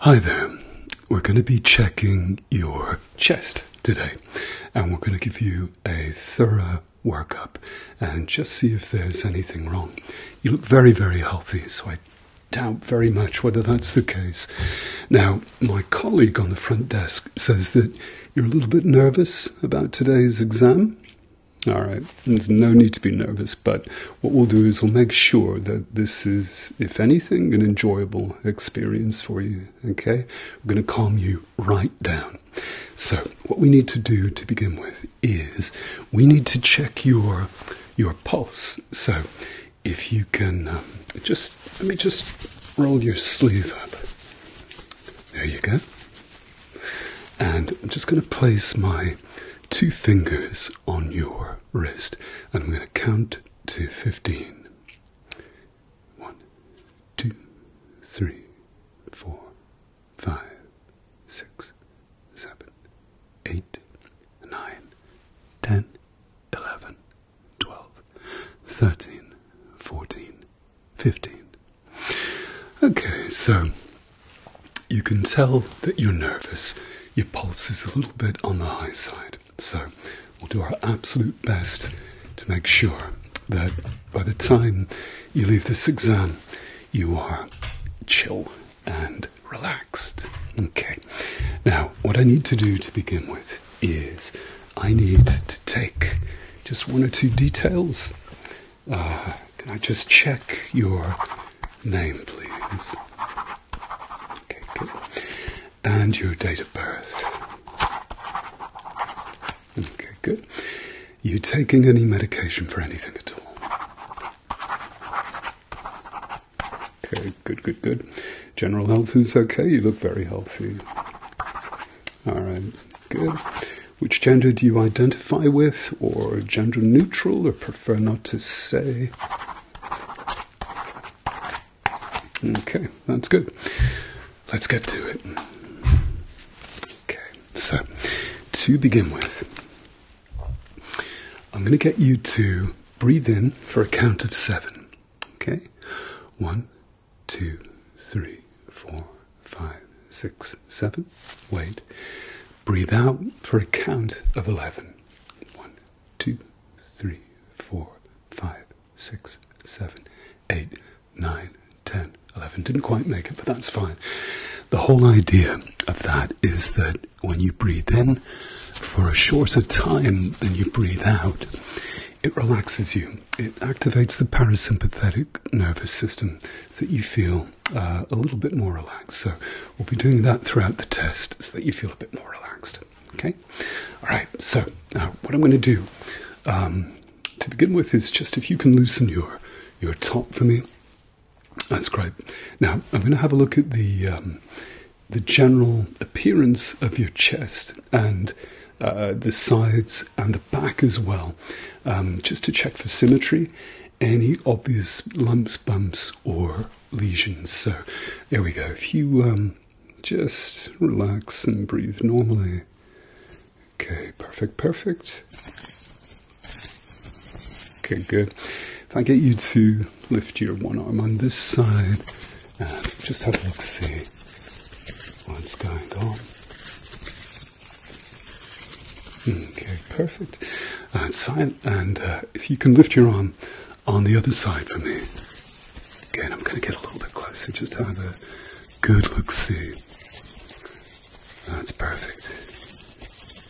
Hi there. We're going to be checking your chest today and we're going to give you a thorough workup and just see if there's anything wrong. You look very, very healthy, so I doubt very much whether that's the case. Now, my colleague on the front desk says that you're a little bit nervous about today's exam. All right, there's no need to be nervous, but what we'll do is we'll make sure that this is, if anything, an enjoyable experience for you. Okay? We're going to calm you right down. So, what we need to do to begin with is we need to check your your pulse. So, if you can um, just let me just roll your sleeve up. There you go. And I'm just going to place my two fingers on your wrist. And I'm going to count to 15. One, two, three, four, five, six, seven, eight, nine, ten, eleven, twelve, thirteen, fourteen, fifteen. Okay, so you can tell that you're nervous. Your pulse is a little bit on the high side. So we'll do our absolute best to make sure that by the time you leave this exam, you are chill and relaxed. Okay. Now, what I need to do to begin with is I need to take just one or two details. Uh, can I just check your name, please? Okay, good. And your date of birth. Okay, good. You taking any medication for anything at all? Okay, good, good, good. General health is okay. You look very healthy. All right, good. Which gender do you identify with, or gender neutral, or prefer not to say? Okay, that's good. Let's get to it. Okay, so to begin with, I'm going to get you to breathe in for a count of seven. Okay, one, two, three, four, five, six, seven. Wait, Breathe out for a count of 11. 1, 2, 3, 4, 5, 6, 7, 8, 9, 10, 11. Didn't quite make it, but that's fine. The whole idea of that is that when you breathe in for a shorter time than you breathe out, it relaxes you. It activates the parasympathetic nervous system so that you feel uh, a little bit more relaxed. So we'll be doing that throughout the test so that you feel a bit more relaxed. Okay? All right, so uh, what I'm going to do um, to begin with is just if you can loosen your, your top for me. That's great. Now I'm going to have a look at the um, the general appearance of your chest and uh, the sides and the back as well, um, just to check for symmetry any obvious lumps, bumps, or lesions. So, there we go. If you um, just relax and breathe normally. Okay, perfect, perfect. Okay, good. If I get you to lift your one arm on this side, uh, just have a look, see what's going on. Okay, perfect. Uh, fine and uh, if you can lift your arm on the other side for me. Again, I'm going to get a little bit closer just have a good look see. That's perfect.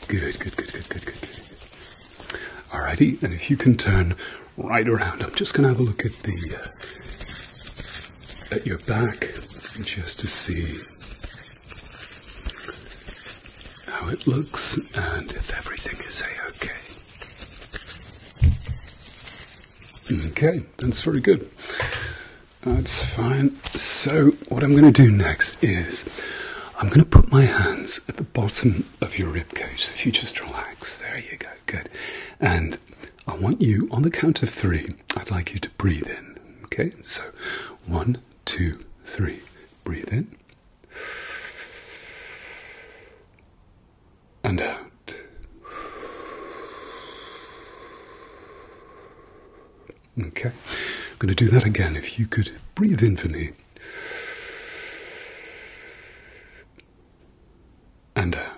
Good, good, good, good, good, good, good. Alrighty, and if you can turn right around, I'm just going to have a look at the uh, at your back just to see how it looks and if everything is a-okay. Okay, that's very good. That's fine. So what I'm going to do next is I'm going to put my hands at the bottom of your ribcage. So if you just relax, there you go, good. And I want you, on the count of three, I'd like you to breathe in. Okay, so one, two, three. Breathe in and out. Okay, I'm going to do that again. If you could breathe in for me and out.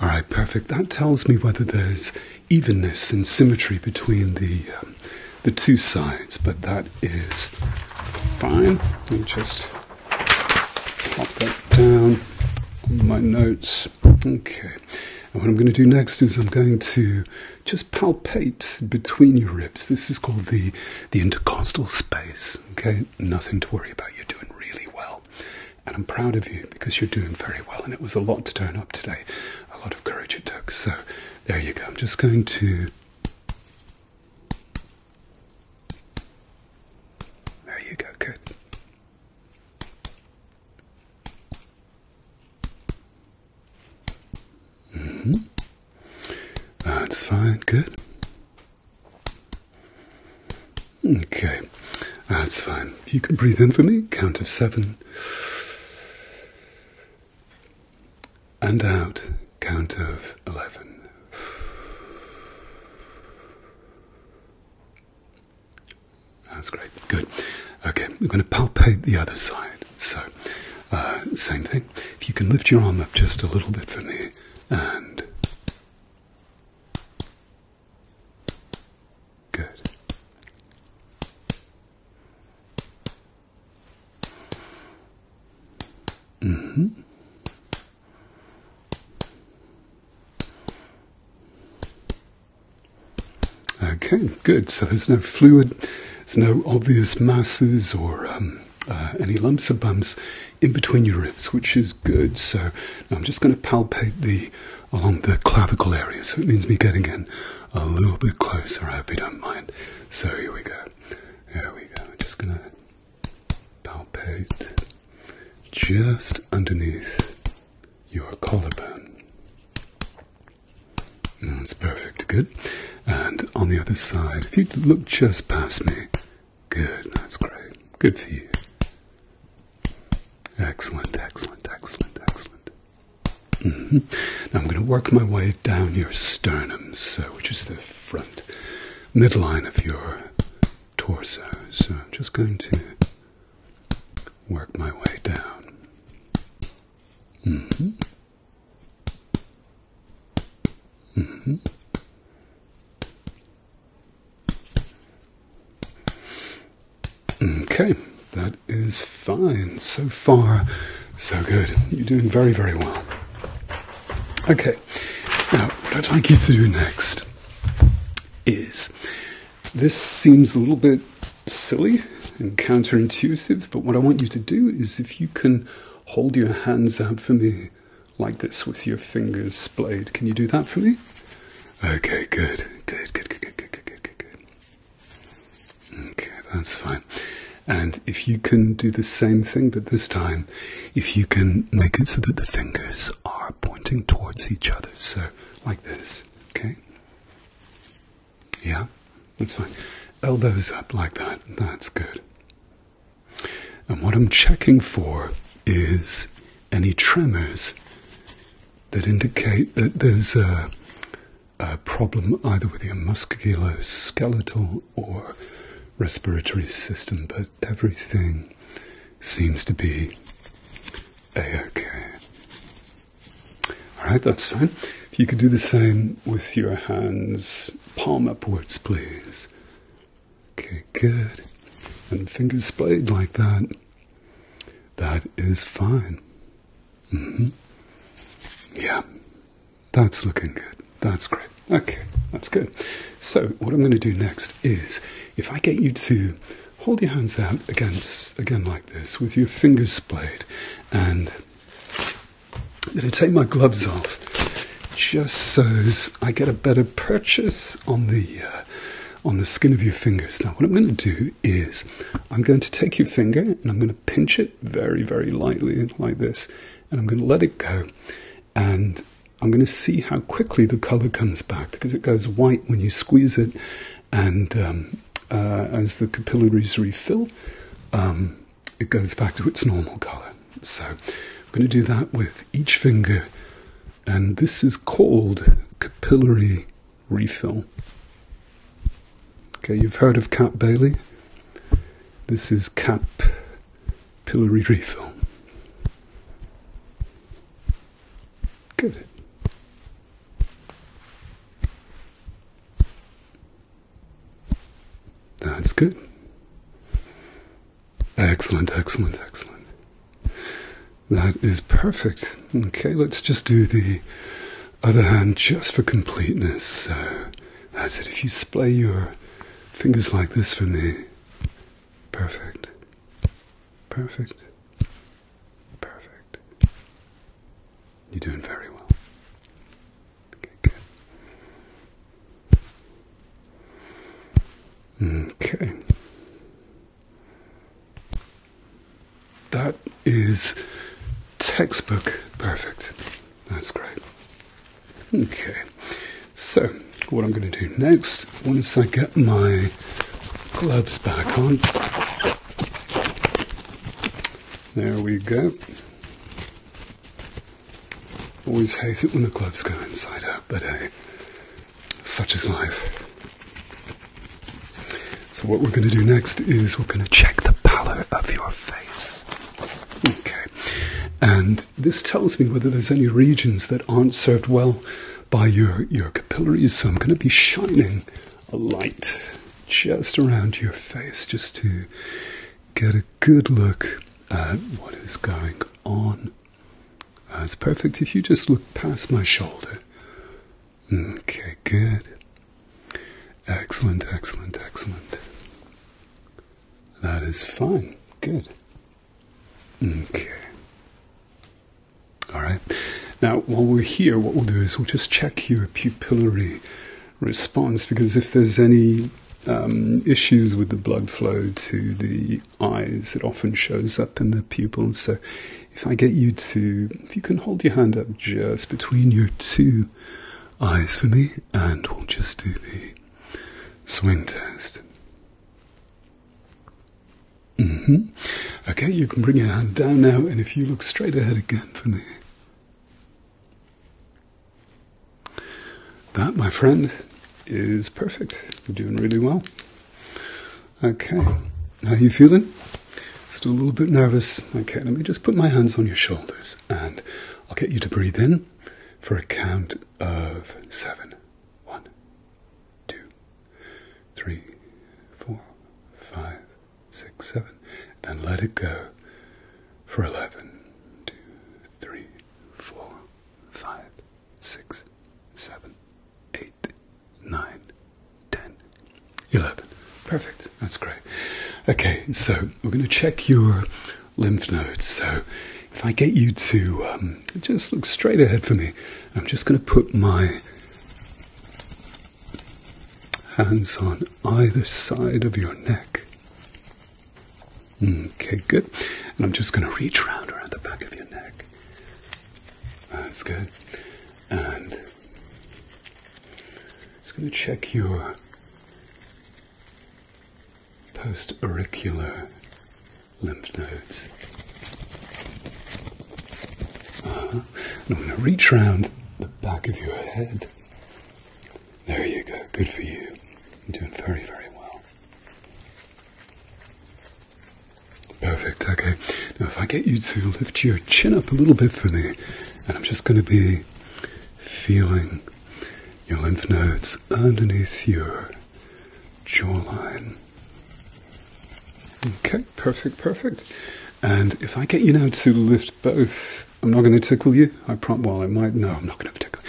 All right, perfect. That tells me whether there's evenness and symmetry between the um, the two sides, but that is fine. Let me just pop that down on my notes. Okay. And what I'm going to do next is I'm going to just palpate between your ribs. This is called the the intercostal space. Okay, nothing to worry about. You're doing really well. And I'm proud of you because you're doing very well. And it was a lot to turn up today, a lot of courage it took. So there you go. I'm just going to. There you go. Good. Mm-hmm. That's fine. Good. Okay, that's fine. If you can breathe in for me, count of seven. And out, count of eleven. That's great, good. Okay, we're going to palpate the other side. So, uh, same thing. If you can lift your arm up just a little bit for me and Good. hmm. Okay, good. So there's no fluid, there's no obvious masses or um, uh, any lumps or bumps in between your ribs, which is good. So I'm just going to palpate the along the clavicle area. So it means me getting in a little bit closer. I hope you don't mind. So here we go. Here we go. I'm just going to palpate just underneath your collarbone. That's perfect. Good. And on the other side, if you look just past me, Good, that's great. Good for you. Excellent, excellent, excellent, excellent. Mm-hmm. Now I'm going to work my way down your sternum, so which is the front midline of your torso. So I'm just going to work my way down. Mm-hmm. Mm-hmm. Okay, that is fine. So far, so good. You're doing very, very well. Okay, now what I'd like you to do next is this seems a little bit silly and counterintuitive, but what I want you to do is if you can hold your hands out for me like this with your fingers splayed. Can you do that for me? Okay, good, good, good, good, good, good, good, good, good, good. Okay, that's fine. And if you can do the same thing, but this time, if you can make it so that the fingers are pointing towards each other, so like this, okay? Yeah, that's fine. Elbows up like that, that's good. And what I'm checking for is any tremors that indicate that there's a, problem either with your musculoskeletal or respiratory system, but everything seems to be a-okay. All right, that's fine. If you could do the same with your hands, palm upwards, please. Okay, good. And fingers splayed like that. That is fine. Mm-hmm. Yeah, that's looking good. That's great. Okay, that's good. So, what I'm going to do next is if I get you to hold your hands out against, again like this, with your fingers splayed, and then take my gloves off just so I get a better purchase on the uh, on the skin of your fingers. Now, what I'm going to do is I'm going to take your finger and I'm going to pinch it very, very lightly like this, and I'm going to let it go, and I'm going to see how quickly the color comes back because it goes white when you squeeze it, and um, uh, as the capillaries refill, um, it goes back to its normal color. So I'm going to do that with each finger, and this is called capillary refill. Okay, you've heard of Cap Bailey. This is Cap Pillary Refill. Good. That's good. Excellent, excellent, excellent. That is perfect. Okay, let's just do the other hand just for completeness. So that's it. If you splay your fingers like this for me, perfect, perfect, perfect. You're doing very well. good. Okay. That is textbook perfect. That's great. Okay. So, what I'm going to do next, once I get my gloves back on, there we go. Always hate it when the gloves go inside out, but such is life. So, what we're going to do next is we're going to check the pallor of your face. Okay, and this tells me whether there's any regions that aren't served well by your, your capillaries, so I'm going to be shining a light just around your face just to get a good look at what is going on uh, it's perfect if you just look past my shoulder. Okay, good. Excellent, excellent, excellent. That is fine. Good. Okay. Alright. Now, while we're here, what we'll do is we'll just check your pupillary response because if there's any um, issues with the blood flow to the eyes. It often shows up in the pupils. So, if I get you to, if you can hold your hand up just between your two eyes for me, and we'll just do the swing test. Mm-hmm. Okay, you can bring your hand down now, and if you look straight ahead again for me. That, my friend, is perfect. You're doing really well. Okay, how are you feeling? Still a little bit nervous. Okay, let me just put my hands on your shoulders and I'll get you to breathe in for a count of seven. One, two, three, four, five, six, seven. Then let it go for eleven, two, three, four, five, six, seven, eight, nine, ten, eleven. Perfect. That's great. Okay, so we're going to check your lymph nodes. So if I get you to um, just look straight ahead for me, I'm just going to put my hands on either side of your neck. Mm, okay, good. And I'm just going to reach round around the back of your neck. That's good. And just going to check your post-auricular lymph nodes. Uh-huh. And I'm going to reach round the back of your head there you go. Good for you. You're doing very, very well. Perfect. Okay. Now, if I get you to lift your chin up a little bit for me, and I'm just going to be feeling your lymph nodes underneath your jawline. Okay, perfect, perfect. And if I get you now to lift both I'm not going to tickle you, I prom. Well, I might. No, I'm not going to tickle.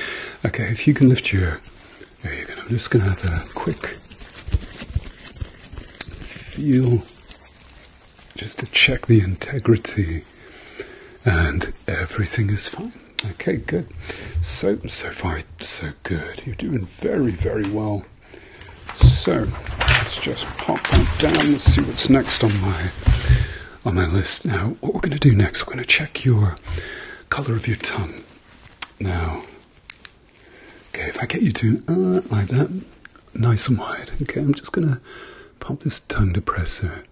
Okay, if you can lift your. There you go. I'm just going to have a quick feel, just to check the integrity, and everything is fine. Okay, good. So so far so good. You're doing very very well. So let's just pop that down. Let's see what's next on my on my list. Now, what we're going to do next, we're going to check your color of your tongue. Now, okay, if I get you to uh, like that, nice and wide. Okay, I'm just going to pop this tongue depressor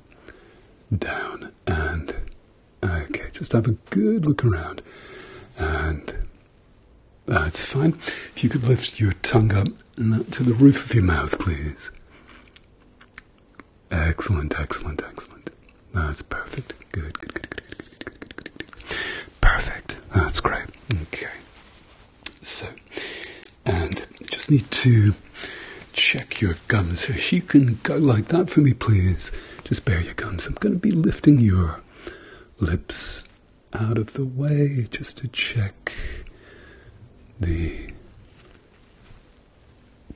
down and okay, just have a good look around. And uh, it's fine. If you could lift your tongue up uh, to the roof of your mouth, please. Excellent, excellent, excellent. That's perfect. Good, good, good, good, good, good, good, good, Perfect. That's great. Okay. So, and just need to check your gums here. If you can go like that for me, please. Just bear your gums. I'm going to be lifting your lips out of the way just to check the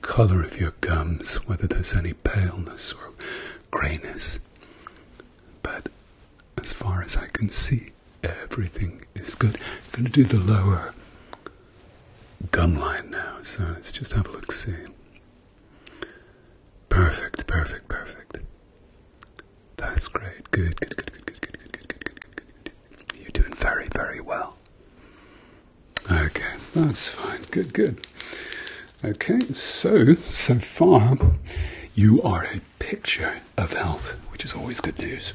color of your gums, whether there's any paleness or grayness. But as far as I can see, everything is good. I'm going to do the lower gum line now, so let's just have a look see. Perfect, perfect, perfect. That's great. Good, good, good, good, good, good, good, good, good, good, good, good. You're doing very, very well. Okay, that's fine. Good, good. Okay, so, so far, you are a picture of health, which is always good news.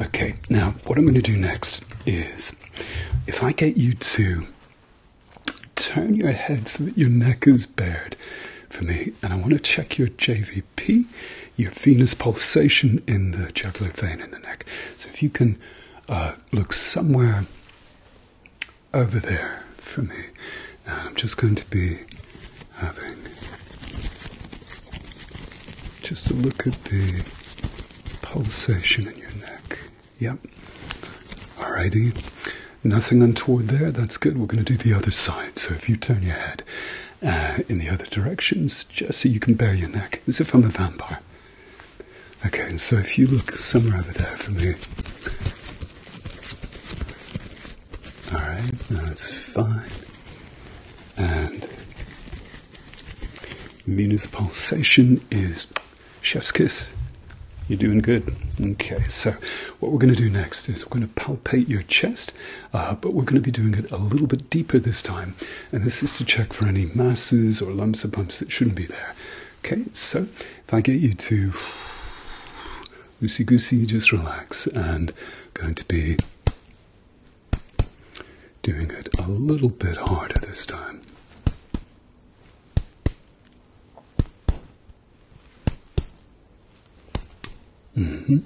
Okay, now, what I'm going to do next is if I get you to turn your head so that your neck is bared for me, and I want to check your JVP, your venous pulsation in the jugular vein in the neck. So if you can uh, look somewhere over there for me. I'm just going to be having just a look at the pulsation in your neck. Yep. All righty. Nothing untoward there. That's good. We're going to do the other side. So if you turn your head uh, in the other directions, just so you can bare your neck as if I'm a vampire. Okay, so if you look somewhere over there for me. Alright, that's fine. And venous pulsation is chef's kiss. You're doing good. Okay, so what we're going to do next is we're going to palpate your chest, uh, but we're going to be doing it a little bit deeper this time and this is to check for any masses or lumps or bumps that shouldn't be there. Okay, so if I get you to loosey goosey, just relax, and going to be doing it a little bit harder this time. Mm-hmm.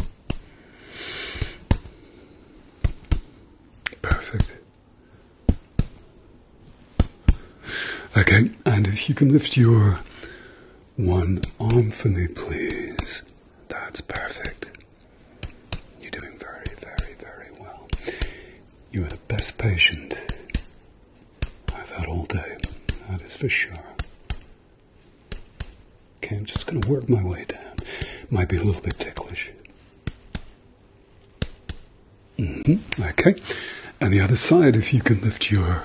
Perfect. Okay, and if you can lift your one arm for me, please. That's perfect. You're doing very, very, very well. You are the best patient I've had all day, that is for sure. Okay, I'm just going to work my way down. Might be a little bit ticklish. Mm-hmm, okay, and the other side, if you can lift your.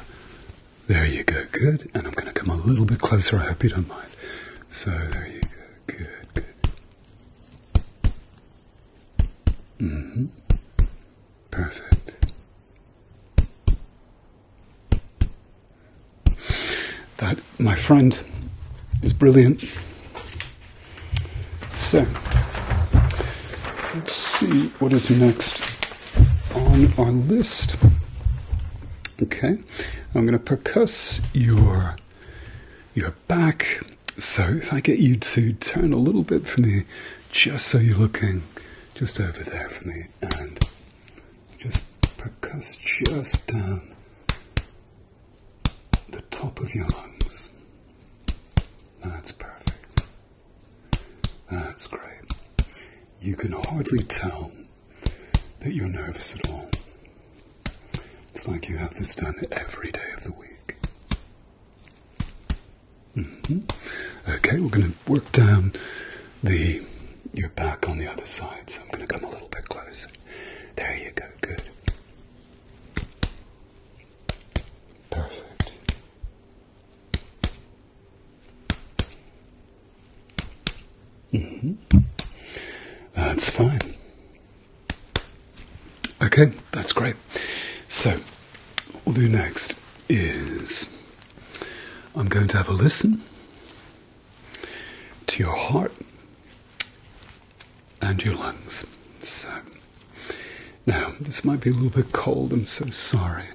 There you go, good. And I'm going to come a little bit closer, I hope you don't mind. So, there you go, good, good. -hmm. Perfect that my friend is brilliant. So, let's see what is next on our list. Okay, I'm going to percuss your, your back. So, if I get you to turn a little bit for me, just so you're looking just over there for me, and just percuss just down the top of your lungs. That's perfect. That's great. You can hardly tell that you're nervous at all. It's like you have this done every day of the week. Mm-hmm. Okay, we're going to work down the your back on the other side, so I'm going to come a little bit closer. There you go, good. Perfect. Mm-hmm. That's fine. Okay, that's great. So, what we'll do next is I'm going to have a listen to your heart and your lungs. So, now this might be a little bit cold, I'm so sorry,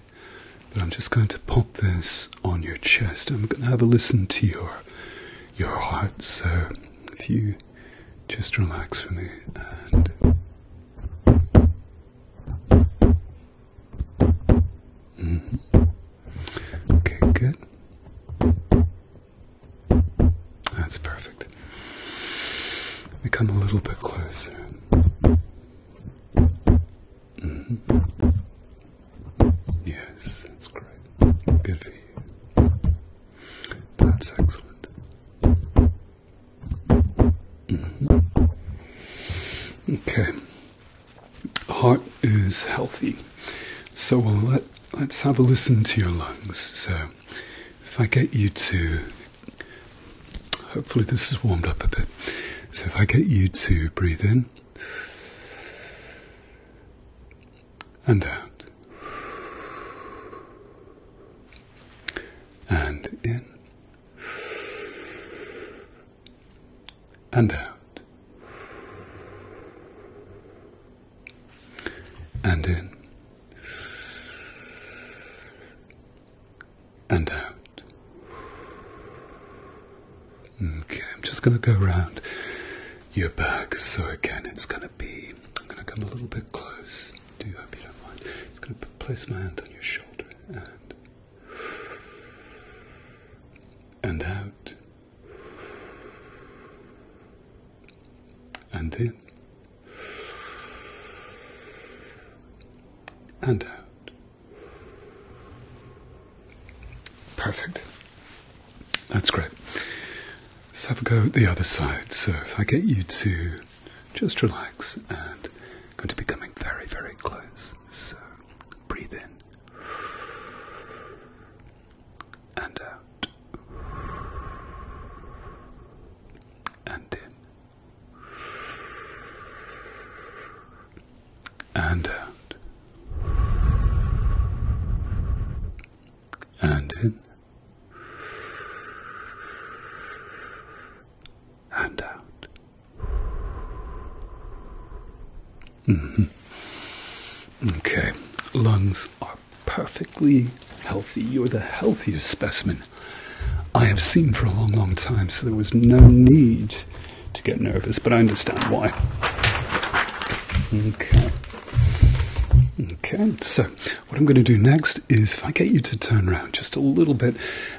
but I'm just going to pop this on your chest. I'm going to have a listen to your your heart. So, if you just relax for me and mm-hmm. Okay, good. That's perfect. We come a little bit closer. Mm-hmm. Yes, that's great. Good for you. That's excellent. Mm-hmm. Okay heart is healthy. So let, let's have a listen to your lungs. So if I get you to, hopefully this is warmed up a bit. So if I get you to breathe in and out and in and out, and in, and out. Okay, I'm just going to go around your back. So again, it's going to be. I'm going to come a little bit close. Do you hope you don't mind. It's going to place my hand on your shoulder and and out and in and out. Perfect. That's great. Let's have a go at the other side. So, if I get you to just relax and I'm going to be coming very, very close. So, breathe in and out, and in, and out, and in, and out. Mm-hmm. Okay. Lungs are perfectly healthy. You're the healthiest specimen I have seen for a long, long time, so there was no need to get nervous, but I understand why. Okay. Okay, so what I'm going to do next is if I get you to turn around just a little bit,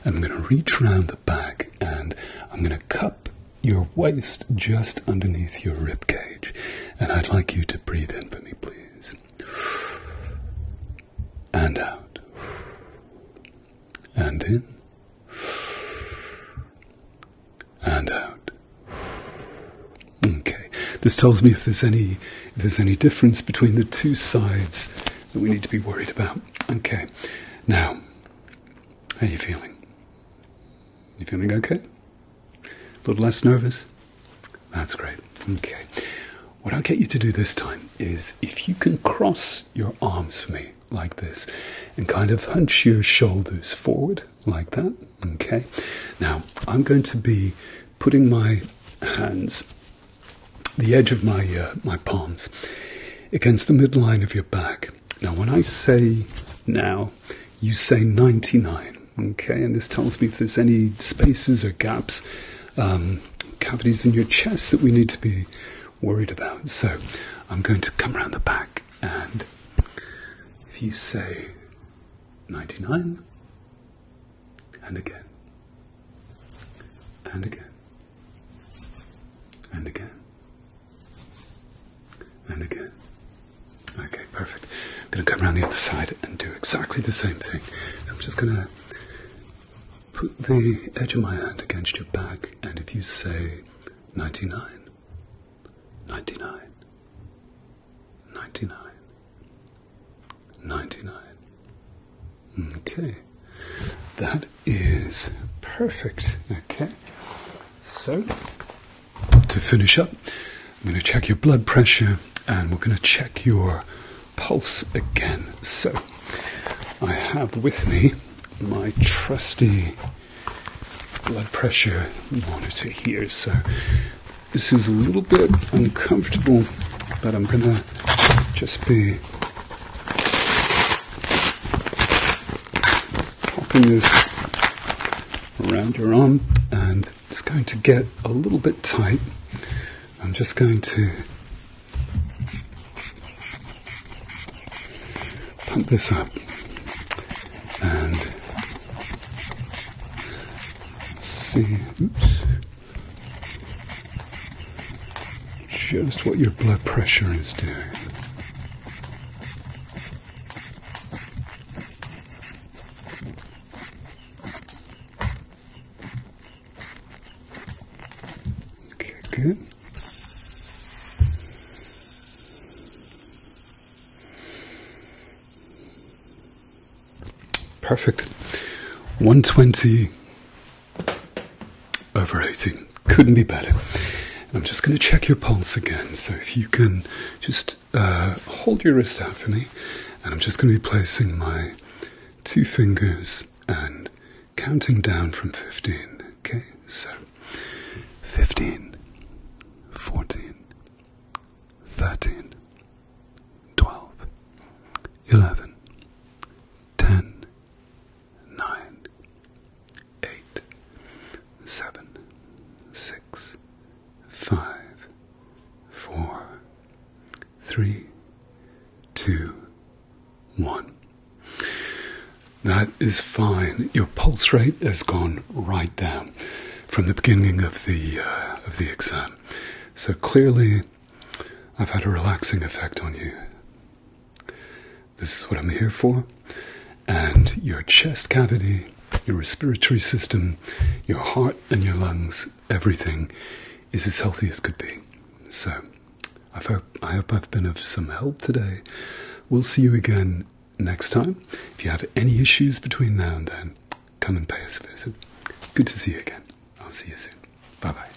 I'm going to reach around the back and I'm going to cup your waist just underneath your rib cage. And I'd like you to breathe in for me, please. And out. And in. And out. Okay. This tells me if there's any if there's any difference between the two sides that we need to be worried about. Okay. Now how are you feeling? You feeling okay? A little less nervous? That's great. Okay. What I'll get you to do this time is if you can cross your arms for me like this and kind of hunch your shoulders forward like that. Okay. Now I'm going to be putting my hands, the edge of my uh, my palms, against the midline of your back, now, when I say now, you say 99, okay? And this tells me if there's any spaces or gaps, um, cavities in your chest that we need to be worried about. So I'm going to come around the back, and if you say 99, and again, and again. And again. And again. Okay, perfect. I'm going to come around the other side and do exactly the same thing. So I'm just going to put the edge of my hand against your back, and if you say 99, 99, 99, 99. Okay, that is perfect. Okay. So, to finish up, I'm going to check your blood pressure and we're going to check your pulse again. So, I have with me my trusty blood pressure monitor here. So, this is a little bit uncomfortable, but I'm going to just be popping this around your arm and it's going to get a little bit tight. I'm just going to pump this up and see. Oops just what your blood pressure is doing. Okay, good. Perfect. 120 over 18. Couldn't be better. I'm just going to check your pulse again. So if you can just uh, hold your wrist out for me. And I'm just going to be placing my two fingers and counting down from 15. Okay, so 15, 14, 13, 12, 11, 10, nine, eight, seven, six, five, four, three, two, one. That is fine. Your pulse rate has gone right down from the beginning of the uh, of the exam. So clearly, I've had a relaxing effect on you. This is what I'm here for. And your chest cavity, your respiratory system, your heart, and your lungs, everything is as healthy as could be. So, I hope, I hope I've been of some help today. We'll see you again next time. If you have any issues between now and then, come and pay us a visit. Good to see you again. I'll see you soon. Bye bye.